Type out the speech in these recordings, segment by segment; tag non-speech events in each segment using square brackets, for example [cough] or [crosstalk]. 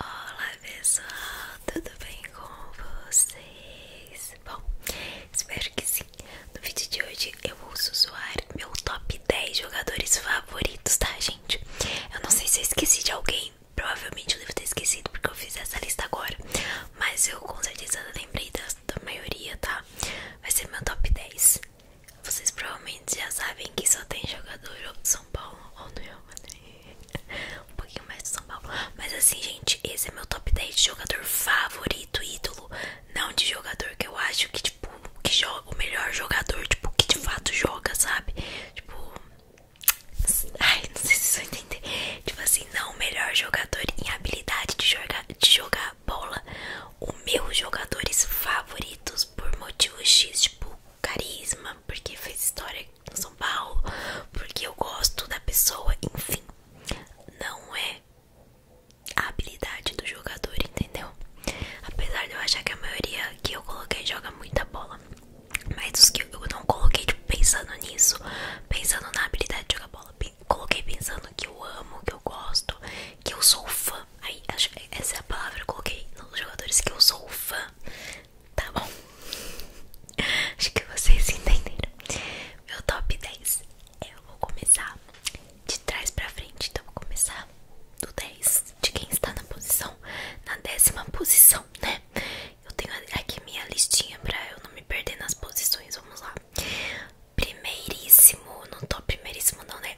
Olá pessoal, tudo bem com vocês? Bom, espero que sim. No vídeo de hoje eu vou usar meu top 10 jogadores favoritos, tá gente? Eu não sei se eu esqueci de alguém, provavelmente eu devo ter esquecido porque eu fiz essa lista agora. Mas eu com certeza lembrei da, maioria, tá? Vai ser meu top 10. Vocês provavelmente já sabem que só tem jogador ou de São Paulo ou no Real é Madrid um pouquinho mais do São Paulo. Mas assim, gente, esse é meu top 10 de jogador favorito, ídolo. Não de jogador que eu acho que, tipo, que joga o melhor jogador, tipo, que de fato joga, sabe? Tipo. Ai, não sei se vocês vão entender. Tipo assim, não o melhor jogador em habilidade de jogar, de jogar bola. O meus jogadores favoritos por motivo X, tipo, carisma, porque fez história no São Paulo, porque eu gosto da pessoa, enfim. Não é a habilidade do jogador, entendeu? Apesar de eu achar que a maioria que eu coloquei joga muita bola. Mas os que eu não coloquei tipo, pensando nisso, pensando na habilidade de jogar bola, coloquei pensando que eu amo, que eu gosto, que eu sou fã fã. essa é a palavra que eu coloquei nos jogadores que eu sou fã. Tá bom? [laughs] Acho que vocês entenderam. Meu top 10. É, eu vou começar de trás pra frente. Então, vou começar do 10 de quem está na posição, na décima posição, né? Eu tenho aqui minha listinha pra eu não me perder nas posições. Vamos lá. Primeiríssimo, não tô primeiríssimo, não, né?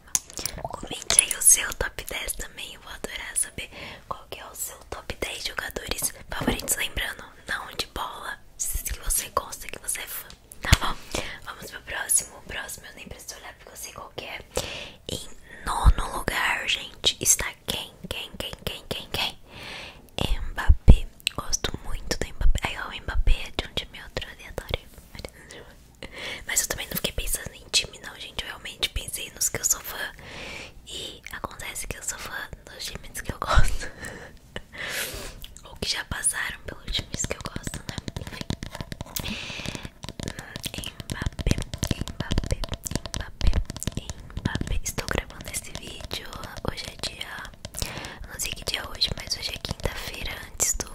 Comente aí o seu top 10 também. Eu vou adorar saber qual que é o seu top 10 jogadores favoritos. Lembrando, não de bola. Que você gosta, que você é fã. Tá bom? Vamos pro próximo. O próximo eu nem preciso olhar porque eu sei qual que é. Em nono lugar, gente, está quem? Quem, quem, quem, quem, quem? Mbappé. Gosto muito do Mbappé. Aí o Mbappé é de um meu outro aleatório. Mas eu também não fiquei pensando em time, não, gente. Eu realmente pensei nos que eu sou fã. E acontece que eu sou fã dos times que eu gosto. [laughs] Ou que já passaram pelos times que eu gosto, né? Enfim. em Mbappé, em Mbappé. Estou gravando esse vídeo. Hoje é dia. não sei que dia é hoje, mas hoje é quinta-feira antes do.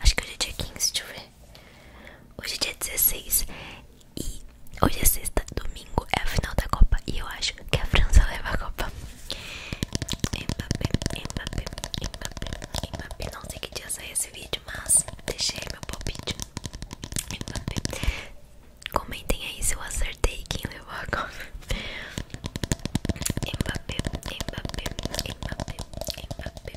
Acho que hoje é dia 15, deixa eu ver. Hoje é dia 16 e hoje é sexta, domingo é a final da Copa e eu acho que a França [laughs] leva a Copa. Mbappé, Mbappé, Mbappé, Mbappé. Não sei que dia sai esse vídeo, mas deixei meu palpite. Mbappé. Comentem aí se eu acertei quem levou a Copa. Mbappé, Mbappé, Mbappé, Mbappé.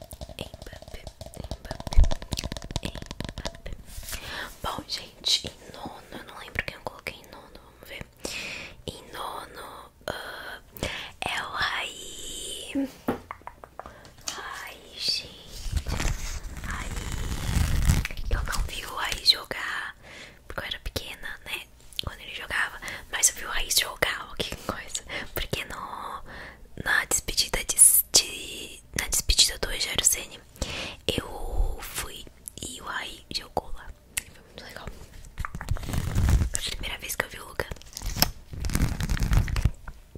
Mbappé, Mbappé, Mbappé. Bom, gente, em nono, eu não lembro quem eu coloquei em nono, vamos ver. Em nono ah, é o Raí. Ai, gente. Ai, eu não vi o aí jogar porque eu era pequena, né? ele jogava, mas eu vi o Raiz jogar, o que coisa. Porque no, na despedida de, na despedida do Rogério Ceni, eu fui e o Raiz jogou lá. Foi muito legal. Foi a primeira vez que eu vi o Luca.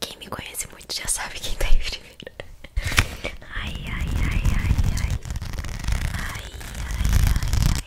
Quem me conhece muito já sabe quem tá aí primeiro. Ai, ai, ai, ai, ai. Ai, ai, ai, ai.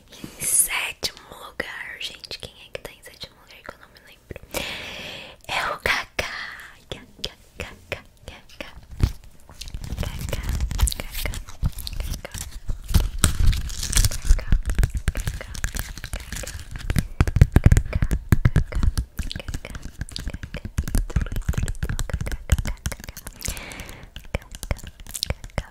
Em sétimo lugar, gente, quem é que tá em sétimo lugar que eu não me lembro? É o Kaká. Kaká, Kaká, Kaká. Kaká, Kaká, Kaká. Kaká, Kaká, Kaká. Kaká, Kaká, Kaká. Ídolo, ídolo, ídolo, Kaká, Kaká, Kaká. Kaká, Kaká.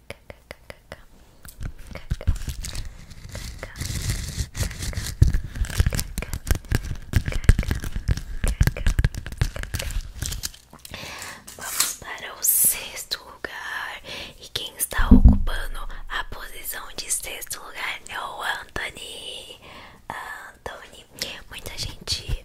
Vamos para o sexto lugar. E quem está ocupando a posição de sexto lugar é o Anthony. Anthony. Muita gente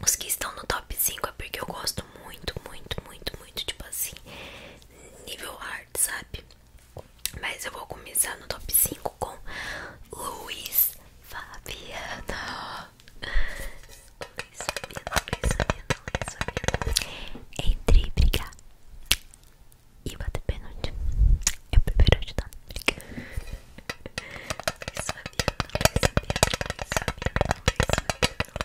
os que estão no top 5 é porque eu gosto muito, muito, muito, muito, tipo assim, nível hard, sabe? Mas eu vou começar no top 5 com Luiz Fabiano. Luiz Fabiano, Luiz Fabiano, Luiz Fabiano. Entre brigar e bater pênalti, eu é prefiro ajudar na Luiz Fabiano, Luiz Fabiano, Luiz Fabiano,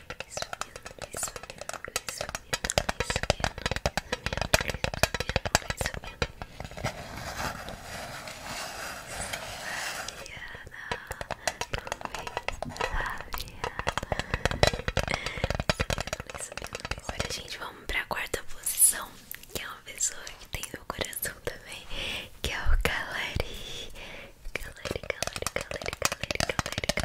Agora, gente, vamos pra quarta posição, que é uma pessoa que tem meu coração também, que é o Galari. Galari, Galari, Galari, Galari, Galari,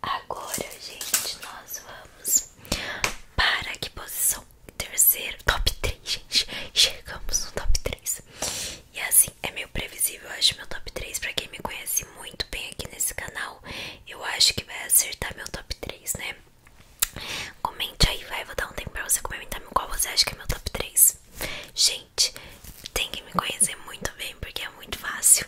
Agora, gente, nós vamos para que posição? Terceiro, top 3, gente. Chegamos no top 3. E assim, é meio previsível, eu acho, meu top 3. Pra quem me conhece muito bem aqui nesse canal, eu acho que vai acertar meu top 3, né? Comente aí, vai. Vou dar um tempo pra você comentar qual você acha que é meu top 3. Gente, tem que me conhecer muito bem, porque é muito fácil.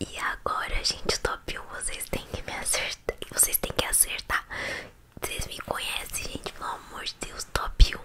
E agora, gente, top 1, vocês têm que me acertar. Vocês têm que acertar. Vocês me conhecem, gente, pelo amor de Deus, top 1.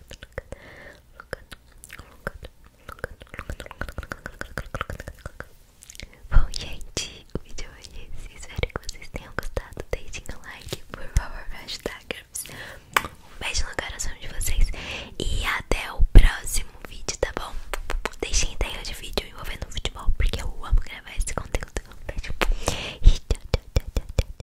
Bom, gente, o vídeo é esse. Espero que vocês tenham gostado. Deixem o like, por favor, me ajudar. Um beijo no coração de vocês. E até o próximo vídeo, tá bom? Deixem ideia de vídeo envolvendo futebol, porque eu amo gravar esse conteúdo. beijo. tchau, tchau, tchau, tchau.